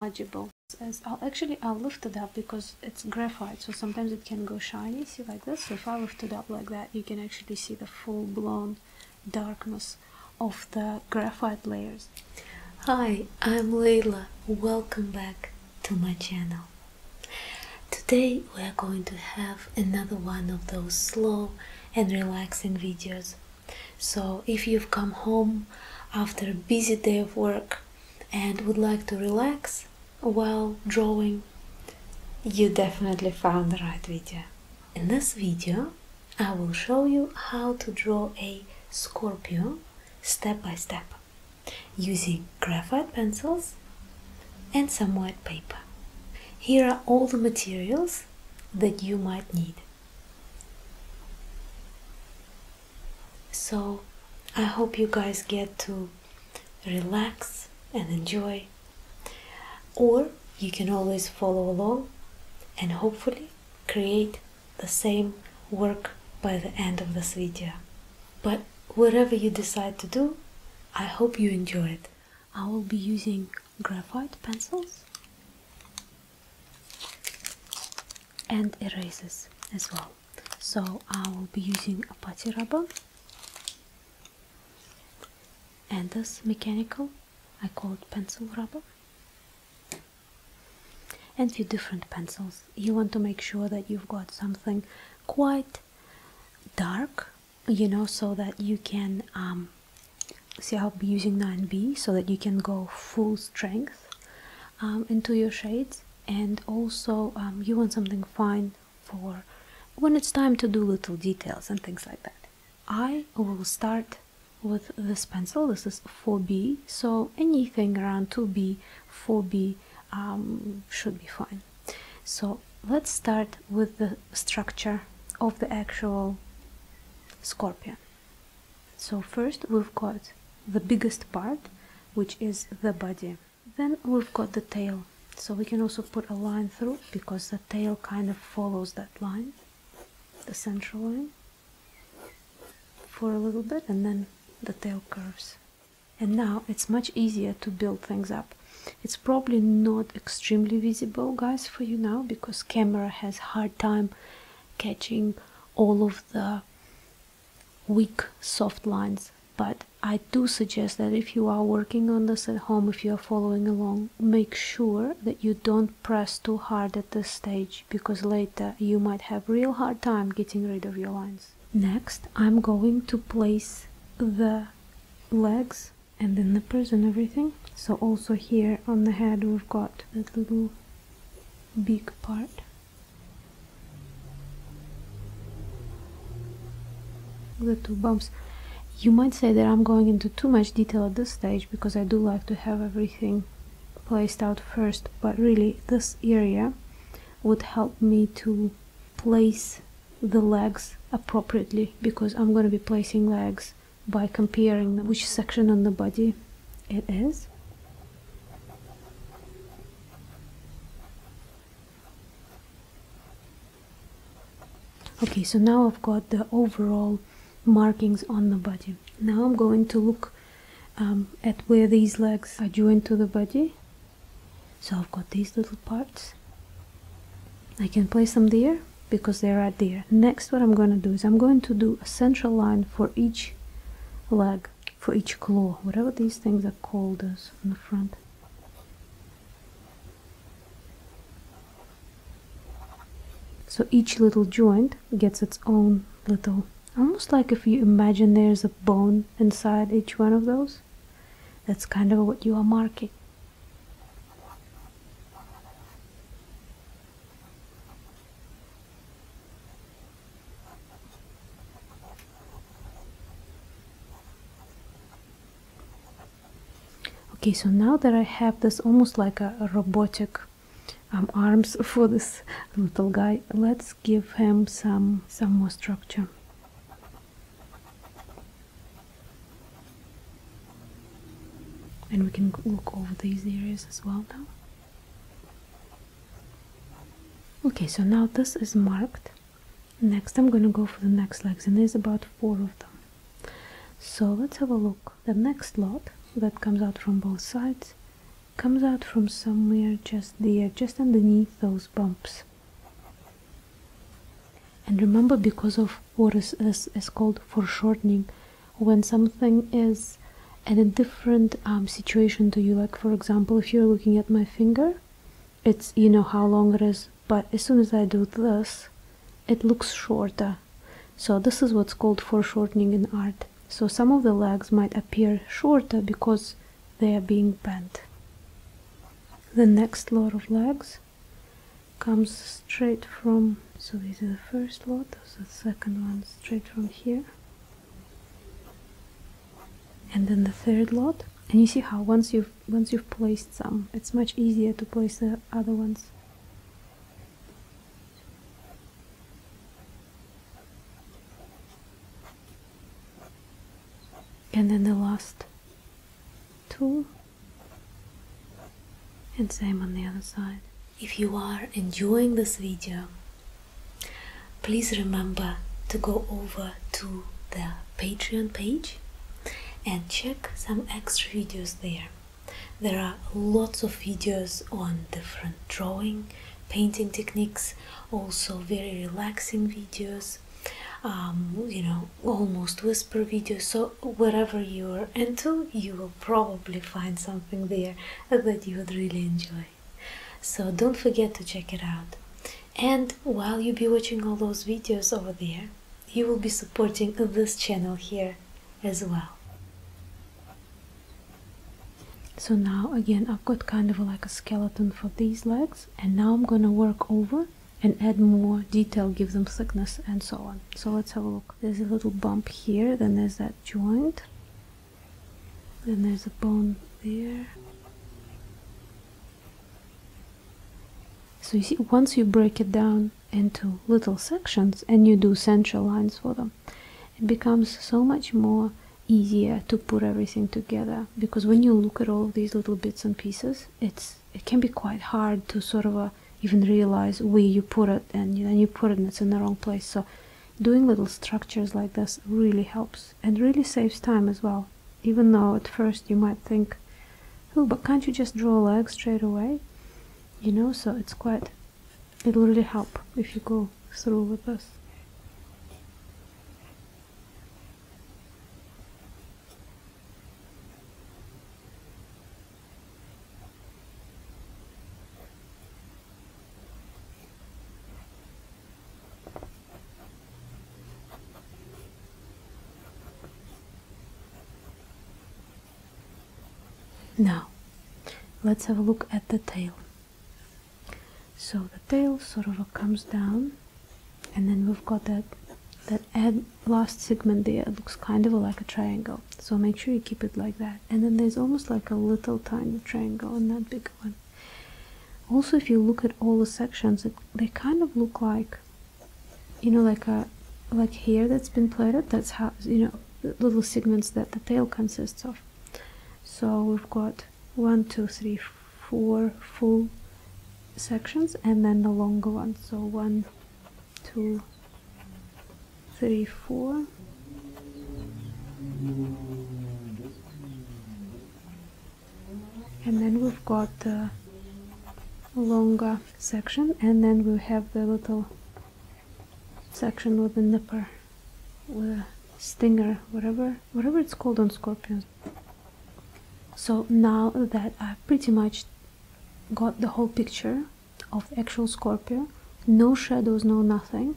legible as i actually I'll lift it up because it's graphite so sometimes it can go shiny see like this so if I lift it up like that you can actually see the full-blown darkness of the graphite layers Hi I'm Layla. welcome back to my channel Today we are going to have another one of those slow and relaxing videos so, if you've come home after a busy day of work and would like to relax while drawing, you definitely found the right video. In this video, I will show you how to draw a scorpion step by step using graphite pencils and some white paper. Here are all the materials that you might need. So I hope you guys get to relax and enjoy. Or you can always follow along and hopefully create the same work by the end of this video. But whatever you decide to do, I hope you enjoy it. I will be using graphite pencils and erasers as well so I will be using a putty rubber and this mechanical I call it pencil rubber and few different pencils you want to make sure that you've got something quite dark you know so that you can um, see I'll be using 9B so that you can go full strength um, into your shades and also um, you want something fine for when it's time to do little details and things like that. I will start with this pencil, this is 4B, so anything around 2B, 4B um, should be fine. So let's start with the structure of the actual scorpion. So first we've got the biggest part, which is the body. Then we've got the tail. So we can also put a line through because the tail kind of follows that line, the central line, for a little bit and then the tail curves. And now it's much easier to build things up. It's probably not extremely visible, guys, for you now because camera has hard time catching all of the weak soft lines but i do suggest that if you are working on this at home if you are following along make sure that you don't press too hard at this stage because later you might have real hard time getting rid of your lines next i'm going to place the legs and the nippers and everything so also here on the head we've got that little big part the two bumps you might say that I'm going into too much detail at this stage because I do like to have everything placed out first but really this area would help me to place the legs appropriately because I'm going to be placing legs by comparing which section on the body it is okay so now I've got the overall markings on the body now I'm going to look um, at where these legs are joined to the body so I've got these little parts I can place them there because they're right there next what I'm going to do is I'm going to do a central line for each leg, for each claw, whatever these things are called as on the front. So each little joint gets its own little, almost like if you imagine there's a bone inside each one of those. That's kind of what you are marking okay so now that I have this almost like a, robotic um, arms for this little guy let's give him some some more structure and we can look over these areas as well now okay so now this is marked next i'm going to go for the next legs and there's about four of them so let's have a look the next lot that comes out from both sides comes out from somewhere just there just underneath those bumps and remember because of what is, is, called foreshortening when something is in a different um, situation to you like for example if you're looking at my finger it's you know how long it is but as soon as i do this it looks shorter so this is what's called foreshortening in art so some of the legs might appear shorter because they are being bent the next lot of legs comes straight from so these are the first lot so the second one straight from here and then the third lot and you see how once you've once you've placed some it's much easier to place the other ones and then the last two and same on the other side if you are enjoying this video, please remember to go over to the Patreon page and check some extra videos there. There are lots of videos on different drawing, painting techniques, also very relaxing videos, um, you know, almost whisper videos. So, wherever you are into, you will probably find something there that you would really enjoy. So don't forget to check it out. And while you be watching all those videos over there, you will be supporting this channel here as well. So now again I've got kind of like a skeleton for these legs and now I'm gonna work over and add more detail, give them thickness and so on. So let's have a look. There's a little bump here, then there's that joint then there's a bone there. So you see, once you break it down into little sections and you do central lines for them, it becomes so much more easier to put everything together because when you look at all these little bits and pieces, it's it can be quite hard to sort of uh, even realize where you put it and then you put it and it's in the wrong place. So doing little structures like this really helps and really saves time as well even though at first you might think oh but can't you just draw legs straight away you know so it's quite it'll really help if you go through with this now, let's have a look at the tail. So the tail sort of comes down, and then we've got that that last segment there. It looks kind of like a triangle. So make sure you keep it like that and then there's almost like a little tiny triangle in that big one also if you look at all the sections they kind of look like you know like a like hair that's been plaited that's how you know little segments that the tail consists of so we've got one two three four full sections and then the longer one so one two three, four. And then we've got the longer section and then we have the little section with the nipper, with stinger, whatever, whatever it's called on scorpions. So now that I pretty much got the whole picture of actual scorpion, no shadows, no nothing,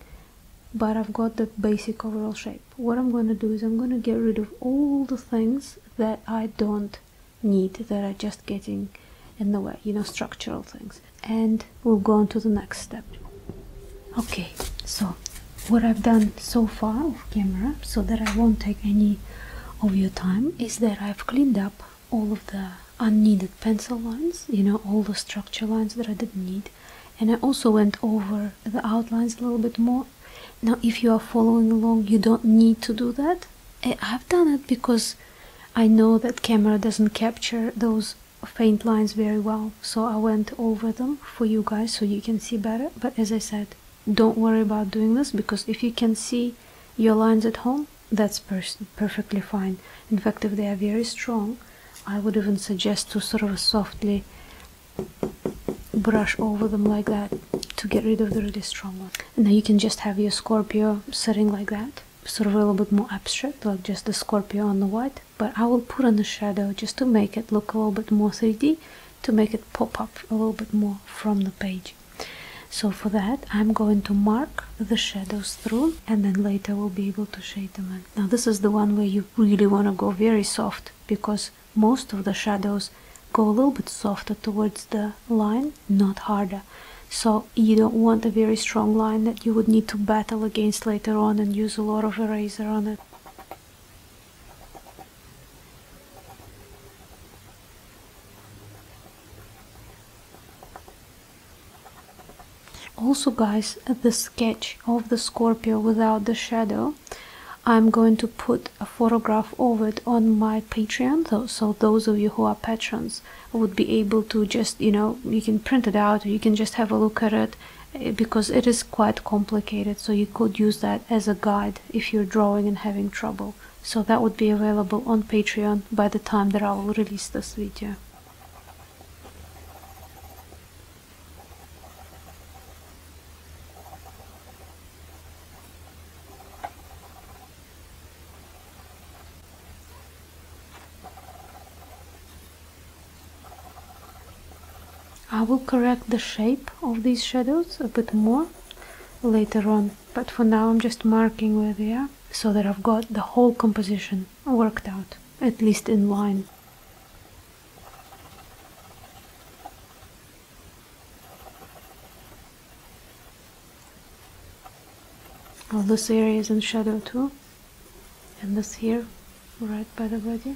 but I've got the basic overall shape. What I'm going to do is I'm going to get rid of all the things that I don't need, that are just getting in the way, you know, structural things. And we'll go on to the next step. Okay, so what I've done so far off camera, so that I won't take any of your time, is that I've cleaned up all of the unneeded pencil lines you know all the structure lines that I didn't need and I also went over the outlines a little bit more now if you are following along you don't need to do that I've done it because I know that camera doesn't capture those faint lines very well so I went over them for you guys so you can see better but as I said don't worry about doing this because if you can see your lines at home that's perfectly fine in fact if they are very strong I would even suggest to sort of softly brush over them like that to get rid of the really strong one. And now you can just have your Scorpio sitting like that, sort of a little bit more abstract, like just the Scorpio on the white. But I will put on the shadow just to make it look a little bit more 3D, to make it pop up a little bit more from the page. So for that, I'm going to mark the shadows through and then later we'll be able to shade them now this is the one where you really want to go very soft because most of the shadows go a little bit softer towards the line, not harder. So you don't want a very strong line that you would need to battle against later on and use a lot of eraser on it also guys the sketch of the scorpio without the shadow i'm going to put a photograph of it on my patreon so those of you who are patrons would be able to just you know you can print it out you can just have a look at it eh, because it is quite complicated so you could use that as a guide if you're drawing and having trouble so that would be available on patreon by the time that i will release this video I will correct the shape of these shadows a bit more later on but for now I'm just marking where they are so that I've got the whole composition worked out, at least in line. All this area in shadow too, and this here, right by the body.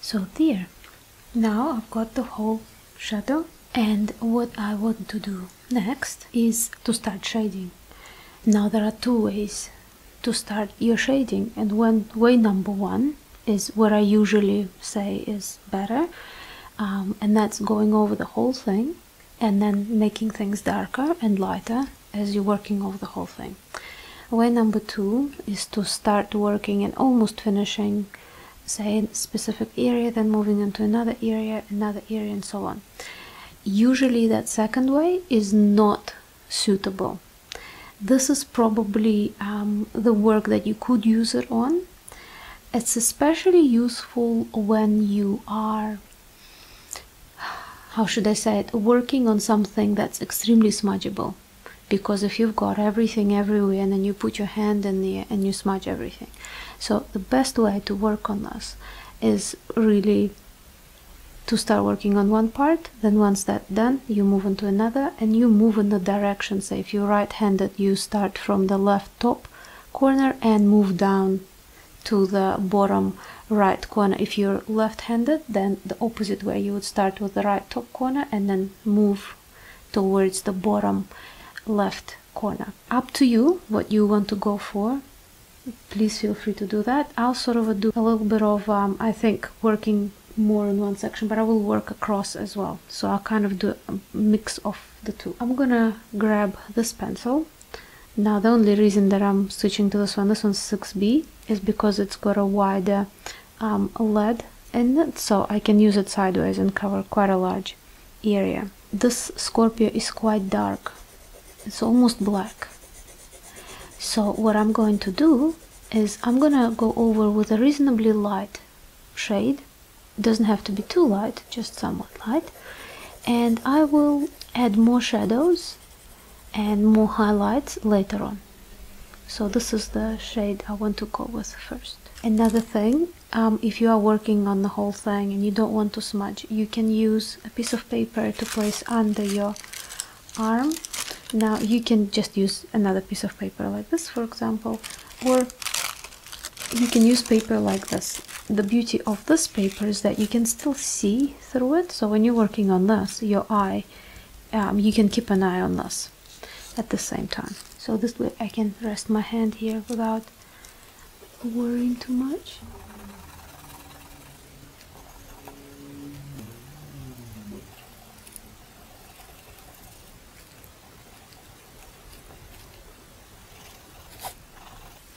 so there now I've got the whole shadow and what I want to do next is to start shading now there are two ways to start your shading and one way number one is what I usually say is better um, and that's going over the whole thing and then making things darker and lighter as you're working over the whole thing Way number two is to start working and almost finishing, say, a specific area, then moving into another area, another area, and so on. Usually, that second way is not suitable. This is probably um, the work that you could use it on. It's especially useful when you are how should I say it, working on something that's extremely smudgeable. Because if you've got everything everywhere and then you put your hand in there and you smudge everything. So the best way to work on us is really to start working on one part, then once that's done, you move on to another and you move in the direction. So if you're right handed, you start from the left top corner and move down to the bottom right corner if you're left-handed then the opposite way you would start with the right top corner and then move towards the bottom left corner up to you what you want to go for please feel free to do that i'll sort of do a little bit of um, i think working more in one section but i will work across as well so i'll kind of do a mix of the two i'm gonna grab this pencil now the only reason that I'm switching to this one, this one's 6B, is because it's got a wider um, lead in it, so I can use it sideways and cover quite a large area. This Scorpio is quite dark, it's almost black. So what I'm going to do is I'm gonna go over with a reasonably light shade, it doesn't have to be too light, just somewhat light, and I will add more shadows and more highlights later on so this is the shade I want to go with first another thing um, if you are working on the whole thing and you don't want to smudge you can use a piece of paper to place under your arm now you can just use another piece of paper like this for example or you can use paper like this the beauty of this paper is that you can still see through it so when you're working on this your eye um, you can keep an eye on this at the same time so this way I can rest my hand here without worrying too much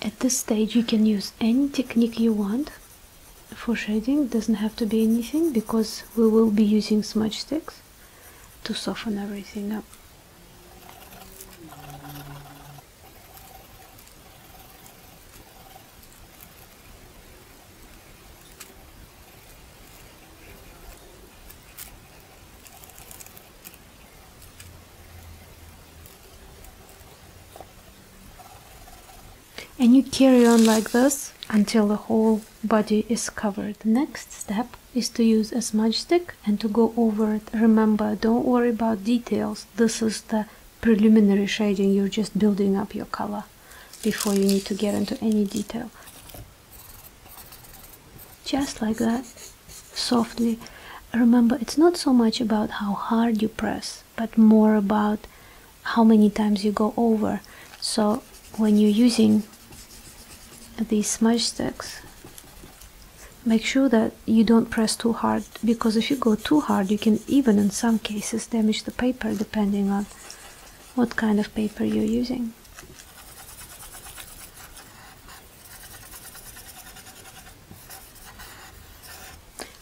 At this stage you can use any technique you want for shading doesn't have to be anything because we will be using smudge sticks to soften everything up and you carry on like this until the whole body is covered. The next step is to use a smudge stick and to go over it. Remember, don't worry about details. This is the preliminary shading. You're just building up your color before you need to get into any detail. Just like that, softly. Remember, it's not so much about how hard you press but more about how many times you go over. So when you're using these smudge sticks, make sure that you don't press too hard because if you go too hard, you can even in some cases damage the paper depending on what kind of paper you're using.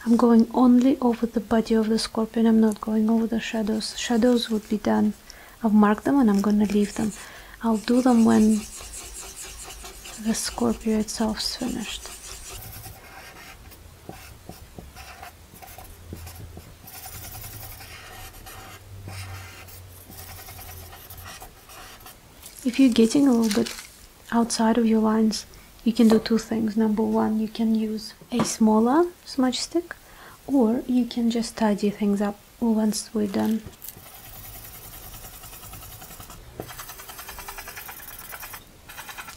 I'm going only over the body of the scorpion. I'm not going over the shadows. Shadows would be done. I've marked them and I'm going to leave them. I'll do them when the scorpion itself is finished. If you're getting a little bit outside of your lines you can do two things number one you can use a smaller smudge stick or you can just tidy things up once we're done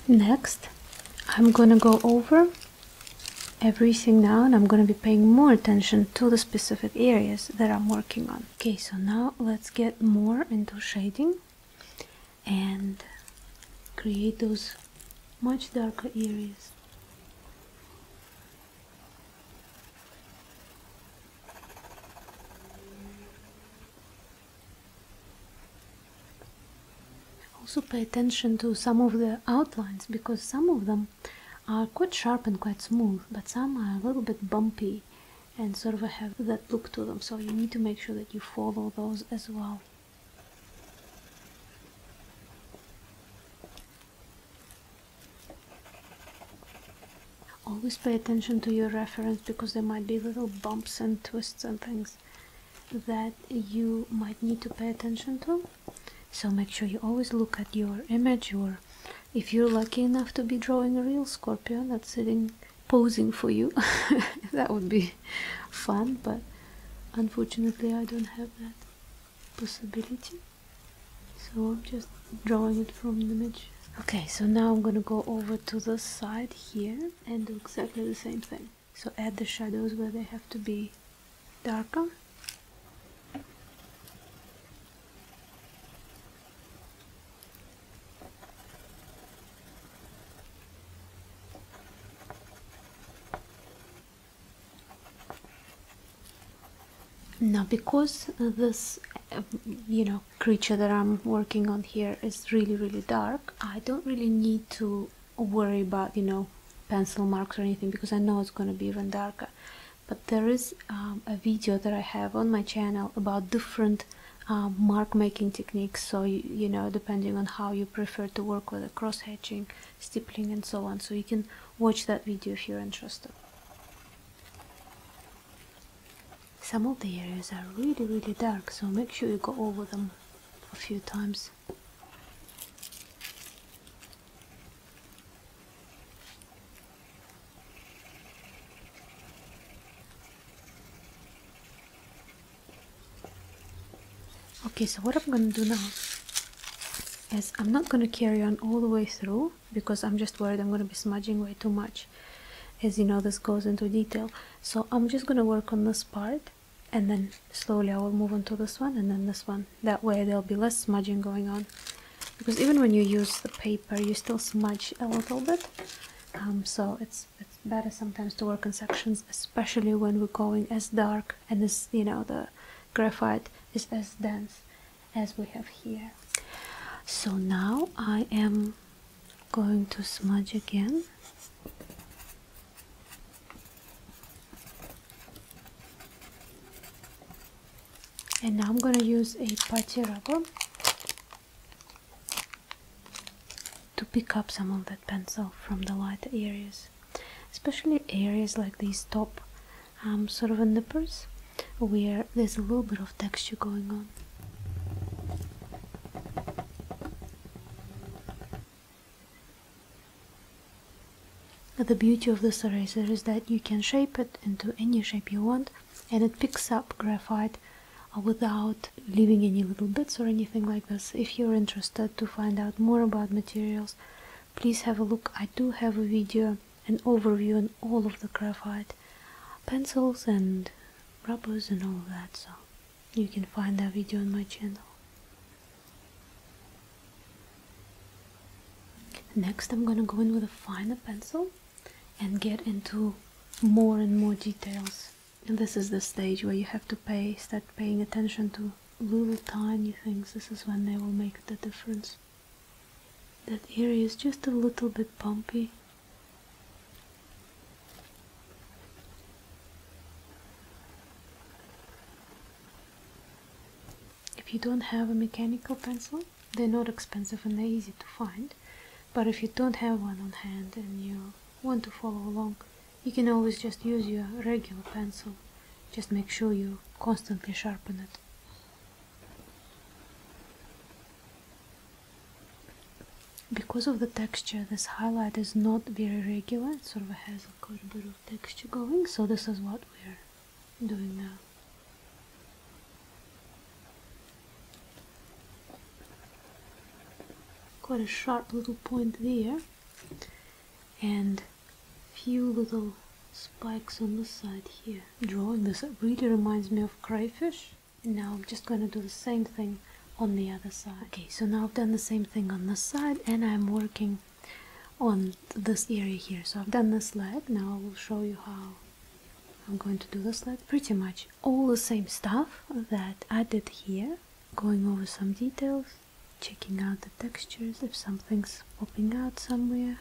next I'm gonna go over everything now and I'm gonna be paying more attention to the specific areas that I'm working on okay so now let's get more into shading and create those much darker areas also pay attention to some of the outlines because some of them are quite sharp and quite smooth but some are a little bit bumpy and sort of have that look to them so you need to make sure that you follow those as well. Always pay attention to your reference because there might be little bumps and twists and things that you might need to pay attention to. So make sure you always look at your image or if you're lucky enough to be drawing a real scorpion that's sitting posing for you. that would be fun, but unfortunately, I don't have that possibility. So I'm just drawing it from the image. Okay, so now I'm gonna go over to the side here and do exactly the same thing. So add the shadows where they have to be darker now because this you know creature that I'm working on here is really really dark I don't really need to worry about you know pencil marks or anything because I know it's going to be even darker but there is um, a video that I have on my channel about different um, mark making techniques so you, you know depending on how you prefer to work with the cross hatching stippling and so on so you can watch that video if you're interested some of the areas are really really dark so make sure you go over them a few times okay so what I'm gonna do now is I'm not gonna carry on all the way through because I'm just worried I'm gonna be smudging way too much as you know this goes into detail so I'm just gonna work on this part and then slowly I will move on to this one and then this one that way there'll be less smudging going on because even when you use the paper you still smudge a little bit um, so it's better sometimes to work in sections especially when we're going as dark and as you know the graphite is as dense as we have here so now I am going to smudge again and now I'm gonna use a putty rubber to pick up some of that pencil from the lighter areas, especially areas like these top um, sort of nippers where there's a little bit of texture going on. The beauty of this eraser is that you can shape it into any shape you want and it picks up graphite uh, without leaving any little bits or anything like this. If you're interested to find out more about materials, please have a look. I do have a video, an overview on all of the graphite pencils and rubbers and all of that, so you can find that video on my channel. Next I'm gonna go in with a finer pencil and get into more and more details and this is the stage where you have to pay start paying attention to little tiny things this is when they will make the difference that area is just a little bit bumpy if you don't have a mechanical pencil they're not expensive and they're easy to find but if you don't have one on hand and you want to follow along, you can always just use your regular pencil. Just make sure you constantly sharpen it. Because of the texture, this highlight is not very regular, it sort of has a quite a bit of texture going, so this is what we're doing now. Quite a sharp little point there, and few little spikes on the side here. Drawing this up really reminds me of crayfish. And now I'm just going to do the same thing on the other side. Okay, so now I've done the same thing on the side and I'm working on this area here. So I've done this leg, now I will show you how I'm going to do this leg. Pretty much all the same stuff that I did here going over some details, checking out the textures, if something's popping out somewhere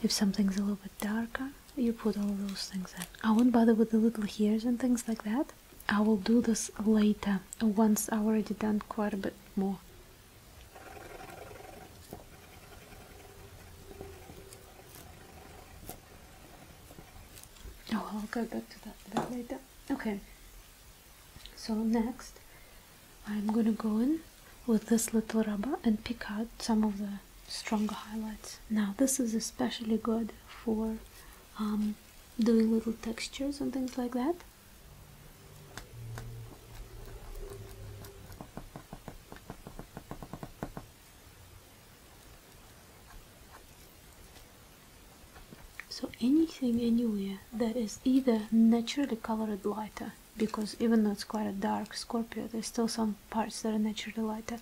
if something's a little bit darker, you put all those things in I won't bother with the little hairs and things like that I will do this later, once I've already done quite a bit more Oh, I'll go back to that later. Okay. So next, I'm gonna go in with this little rubber and pick out some of the stronger highlights. Now this is especially good for um, doing little textures and things like that so anything anywhere that is either naturally colored lighter because even though it's quite a dark scorpio there's still some parts that are naturally lighter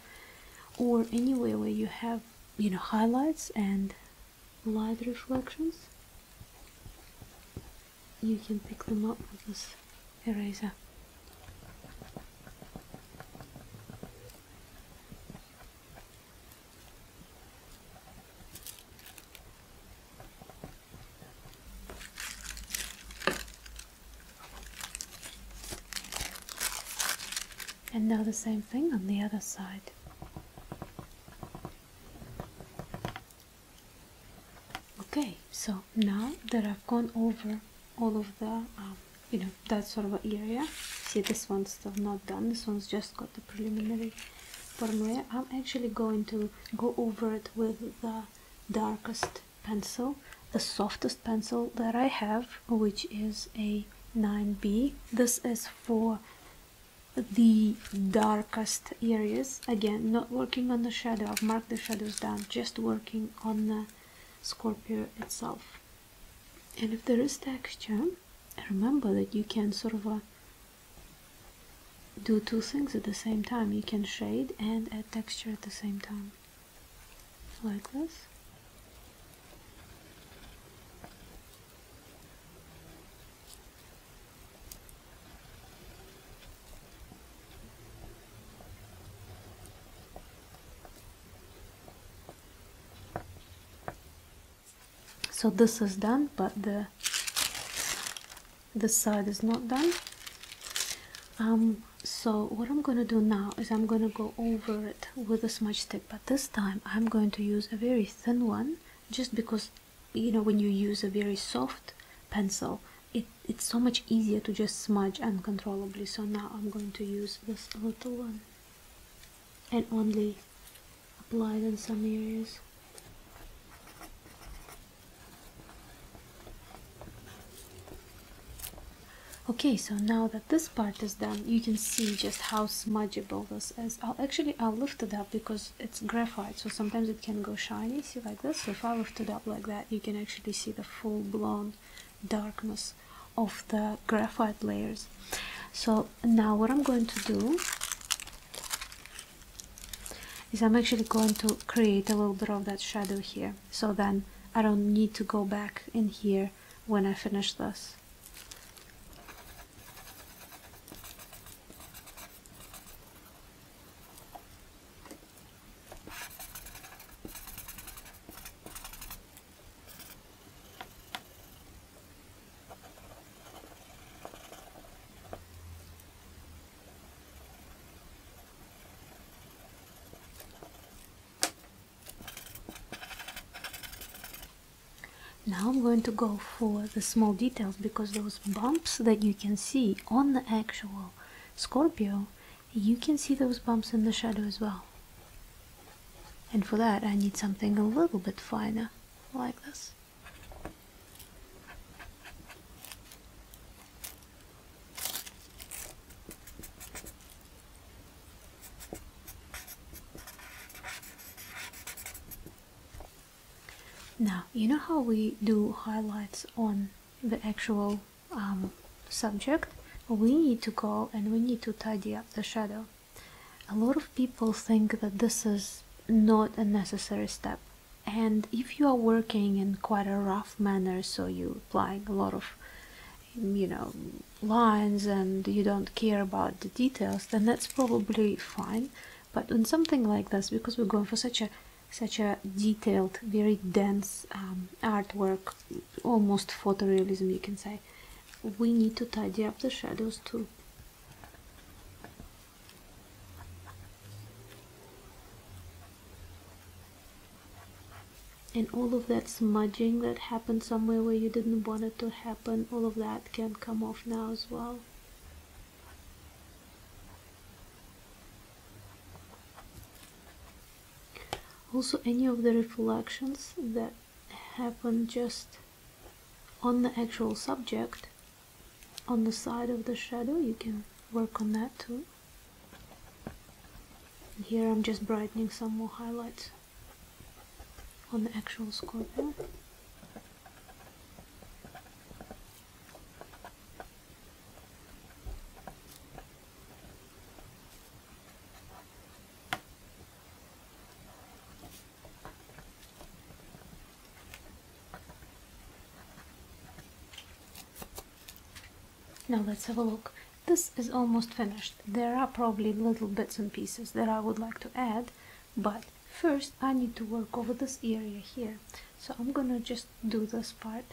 or anywhere where you have you know highlights and light reflections you can pick them up with this eraser and now the same thing on the other side. Okay, so now that I've gone over all of the um, you know that sort of area see this one's still not done this one's just got the preliminary i'm actually going to go over it with the darkest pencil the softest pencil that i have which is a 9b this is for the darkest areas again not working on the shadow i've marked the shadows down just working on the scorpio itself and if there is texture remember that you can sort of uh, do two things at the same time you can shade and add texture at the same time like this so this is done but the this side is not done um so what i'm going to do now is i'm going to go over it with a smudge stick but this time i'm going to use a very thin one just because you know when you use a very soft pencil it, it's so much easier to just smudge uncontrollably so now i'm going to use this little one and only applied in some areas. Okay, so now that this part is done, you can see just how smudgeable this is. I'll actually, I'll lift it up because it's graphite, so sometimes it can go shiny, see like this. So if I lift it up like that, you can actually see the full-blown darkness of the graphite layers so now what i'm going to do is i'm actually going to create a little bit of that shadow here so then i don't need to go back in here when i finish this now I'm going to go for the small details because those bumps that you can see on the actual Scorpio, you can see those bumps in the shadow as well. And for that I need something a little bit finer, like this. Now, you know how we do highlights on the actual um, subject, we need to go and we need to tidy up the shadow. A lot of people think that this is not a necessary step. And if you are working in quite a rough manner, so you applying a lot of you know lines and you don't care about the details, then that's probably fine. But on something like this, because we're going for such a such a detailed, very dense um, artwork, almost photorealism you can say we need to tidy up the shadows too and all of that smudging that happened somewhere where you didn't want it to happen all of that can come off now as well also any of the reflections that happen just on the actual subject on the side of the shadow you can work on that too here I'm just brightening some more highlights on the actual scorpion now let's have a look. This is almost finished. There are probably little bits and pieces that I would like to add, but first I need to work over this area here. So I'm gonna just do this part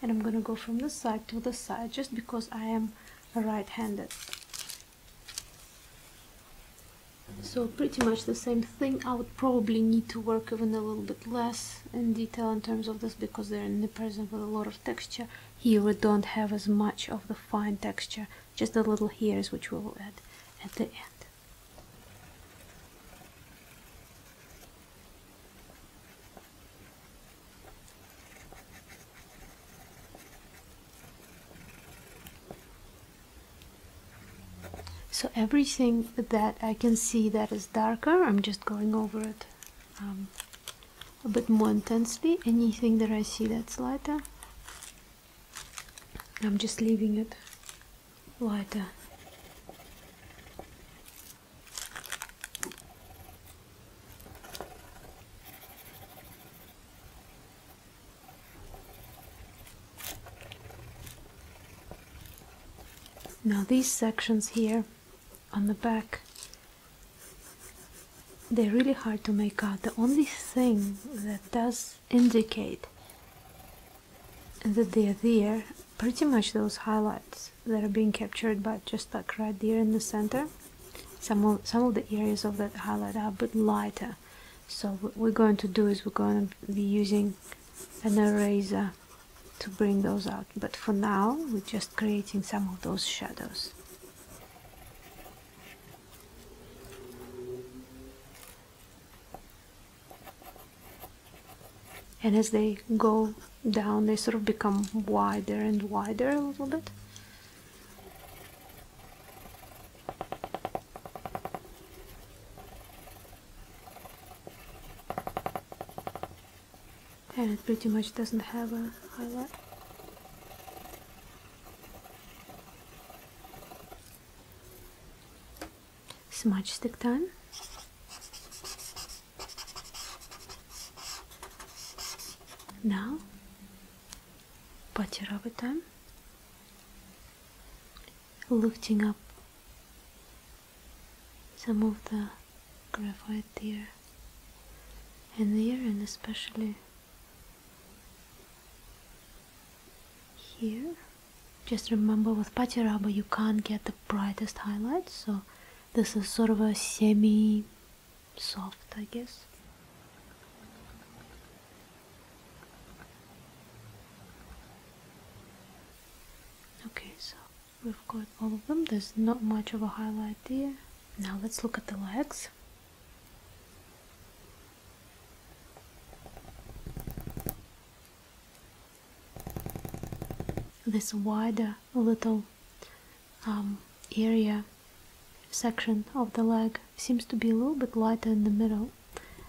and I'm gonna go from this side to the side just because I am right-handed so pretty much the same thing I would probably need to work even a little bit less in detail in terms of this because they're in the present with a lot of texture here we don't have as much of the fine texture just the little hairs which we will add at the end so everything that I can see that is darker, I'm just going over it um, a bit more intensely. Anything that I see that's lighter, I'm just leaving it lighter. Now these sections here on the back, they're really hard to make out. The only thing that does indicate that they're there, pretty much those highlights that are being captured but just like right there in the center. Some of, some of the areas of that highlight are a bit lighter. So what we're going to do is we're going to be using an eraser to bring those out. But for now, we're just creating some of those shadows. and as they go down they sort of become wider and wider a little bit and it pretty much doesn't have a highlight. Smudge stick time. Now butter over time, lifting up some of the graphite there and there, and especially here. Just remember with patty you can't get the brightest highlights, so this is sort of a semi soft, I guess. Okay, so we've got all of them. There's not much of a highlight there. Now let's look at the legs. This wider a little um, area section of the leg seems to be a little bit lighter in the middle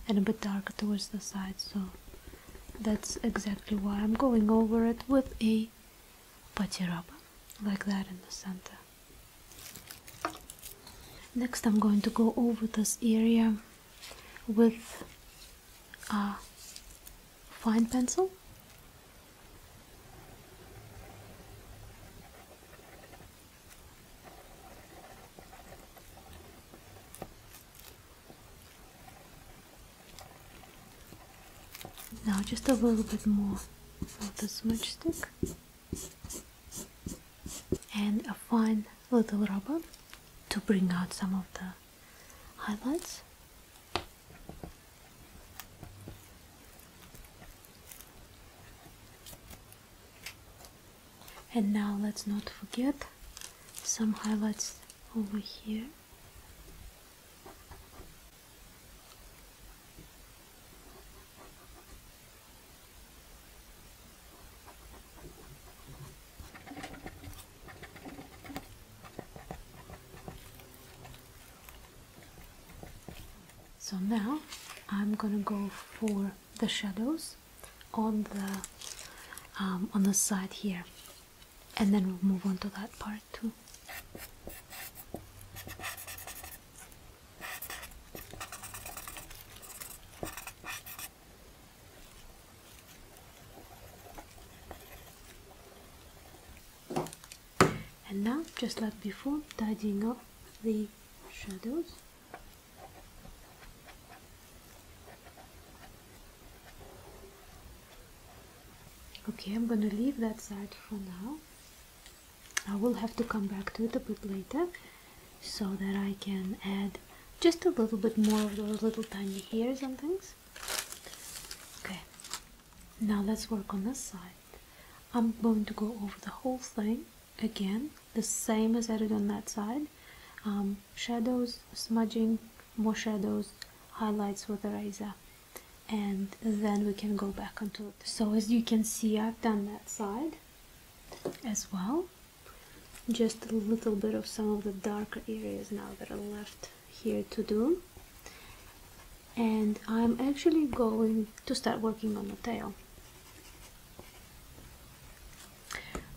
and a bit darker towards the side so that's exactly why I'm going over it with a putty like that in the center next I'm going to go over this area with a fine pencil now just a little bit more of the smudge stick and a fine little rubber to bring out some of the highlights and now let's not forget some highlights over here. So now I'm gonna go for the shadows on the um, on the side here, and then we'll move on to that part too and now just like before tidying up the shadows okay I'm gonna leave that side for now I will have to come back to it a bit later so that I can add just a little bit more of those little tiny hairs and things okay now let's work on this side. I'm going to go over the whole thing again, the same as I did on that side. Um, shadows, smudging, more shadows, highlights with eraser and then we can go back onto it. So as you can see I've done that side as well. Just a little bit of some of the darker areas now that are left here to do and I'm actually going to start working on the tail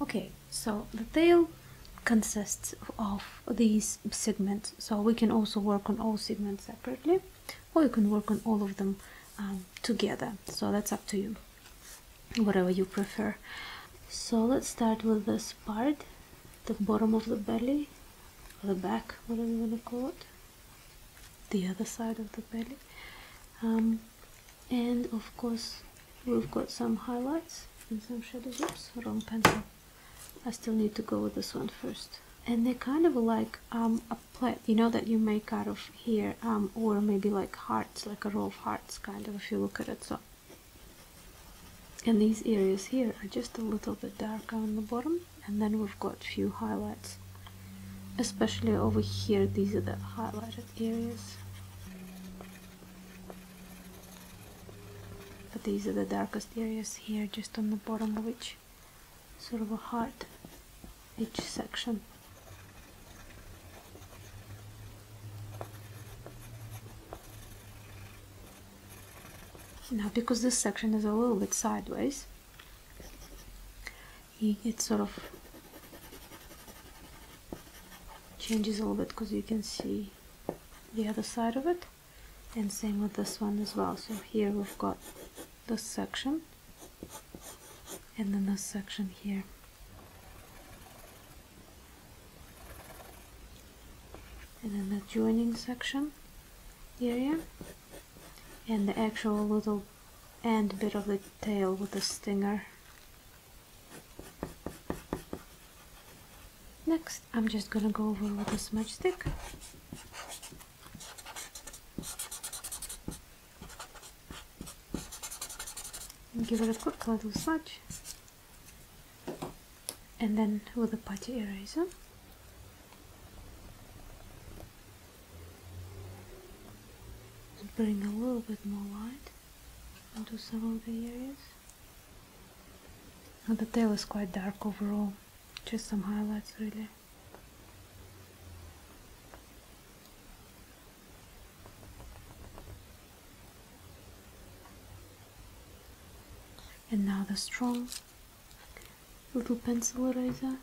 okay so the tail consists of these segments so we can also work on all segments separately or we can work on all of them um, together so that's up to you whatever you prefer so let's start with this part the bottom of the belly or the back whatever you want to call it the other side of the belly um, and of course we've got some highlights and some shadows oops wrong pencil I still need to go with this one first and they're kind of like um, a plait you know that you make out of here um, or maybe like hearts like a row of hearts kind of if you look at it so and these areas here are just a little bit darker on the bottom and then we've got a few highlights especially over here these are the highlighted areas but these are the darkest areas here just on the bottom of each sort of a heart each section now because this section is a little bit sideways it sort of changes a little bit because you can see the other side of it and same with this one as well so here we've got this section and then this section here and then the joining section here and the actual little end bit of the tail with the stinger. Next, I'm just gonna go over with a smudge stick. give it a quick little smudge. And then with a putty eraser, and bring a little bit more light into some of the areas. Now the tail is quite dark overall, just some highlights really. And now the strong little pencil eraser.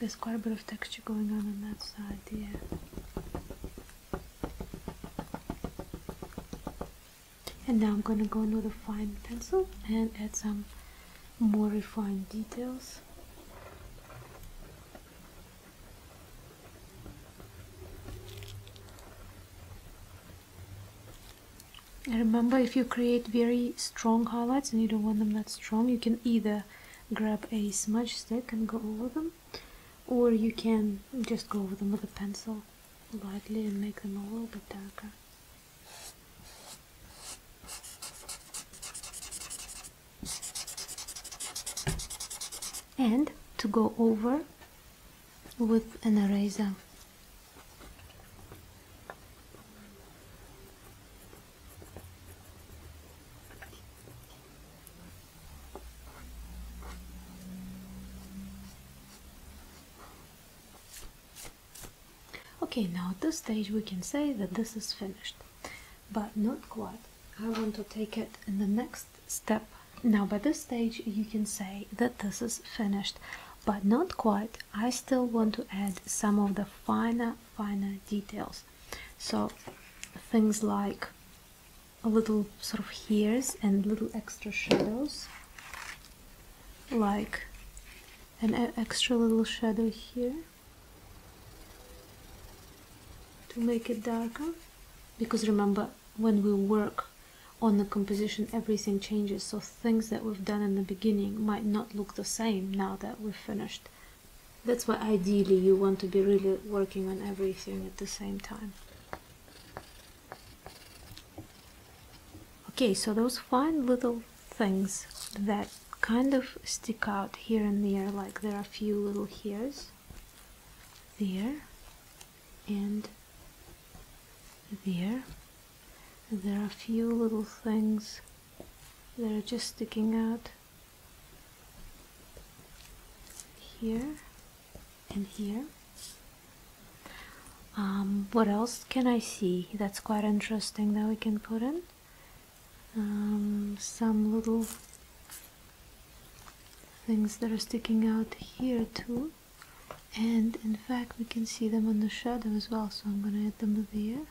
There's quite a bit of texture going on on that side Yeah and now I'm gonna go in with fine pencil and add some more refined details remember if you create very strong highlights and you don't want them that strong you can either grab a smudge stick and go over them or you can just go over them with a pencil lightly and make them a little bit darker. And to go over with an eraser. Okay, now at this stage we can say that this is finished, but not quite. I want to take it in the next step. Now by this stage you can say that this is finished, but not quite. I still want to add some of the finer, finer details. So things like a little sort of hairs and little extra shadows like an extra little shadow here to make it darker because remember when we work on the composition everything changes so things that we've done in the beginning might not look the same now that we've finished that's why ideally you want to be really working on everything at the same time okay so those fine little things that kind of stick out here and there like there are a few little hairs there and there there are a few little things that are just sticking out here and here um, what else can I see that's quite interesting that we can put in um, some little things that are sticking out here too and in fact we can see them in the shadow as well so I'm gonna add them there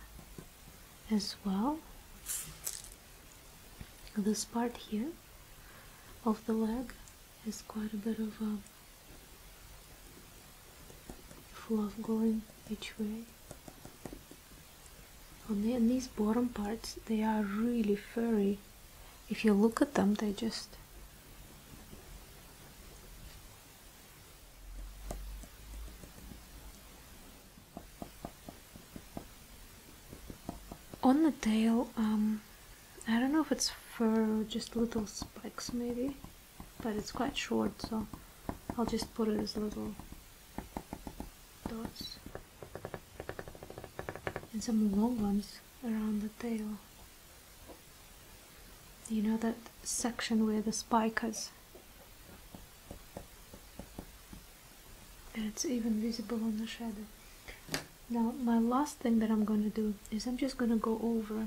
as well this part here of the leg has quite a bit of a fluff going each way and these bottom parts they are really furry if you look at them they just on the tail um, I don't know if it's fur just little spikes maybe but it's quite short so I'll just put it as little dots and some long ones around the tail you know that section where the spike is and it's even visible on the shadow now my last thing that I'm gonna do is I'm just gonna go over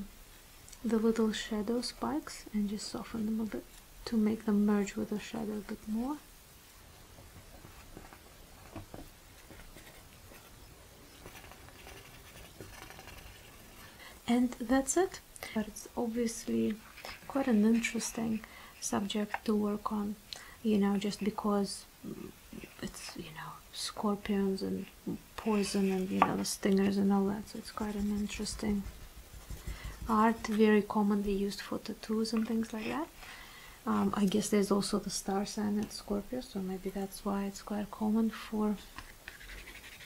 the little shadow spikes and just soften them a bit to make them merge with the shadow a bit more and that's it but it's obviously quite an interesting subject to work on you know just because it's you know scorpions and poison and you know the stingers and all that so it's quite an interesting art very commonly used for tattoos and things like that um, i guess there's also the star sign at scorpio so maybe that's why it's quite common for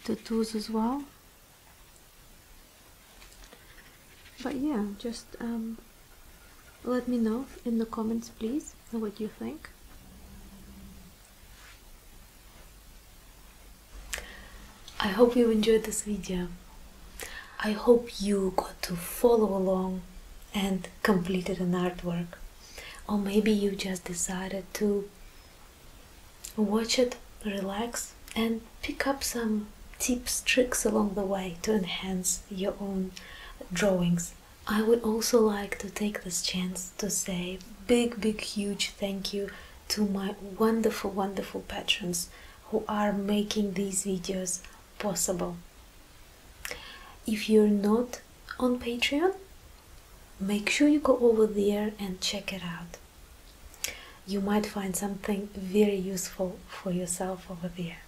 tattoos as well but yeah just um, let me know in the comments please what you think I hope you enjoyed this video I hope you got to follow along and completed an artwork or maybe you just decided to watch it relax and pick up some tips tricks along the way to enhance your own drawings I would also like to take this chance to say big, big, huge thank you to my wonderful, wonderful patrons who are making these videos possible. If you're not on Patreon, make sure you go over there and check it out. You might find something very useful for yourself over there.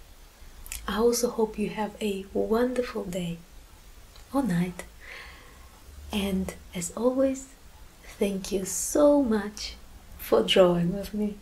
I also hope you have a wonderful day or night. And as always, thank you so much for drawing with me.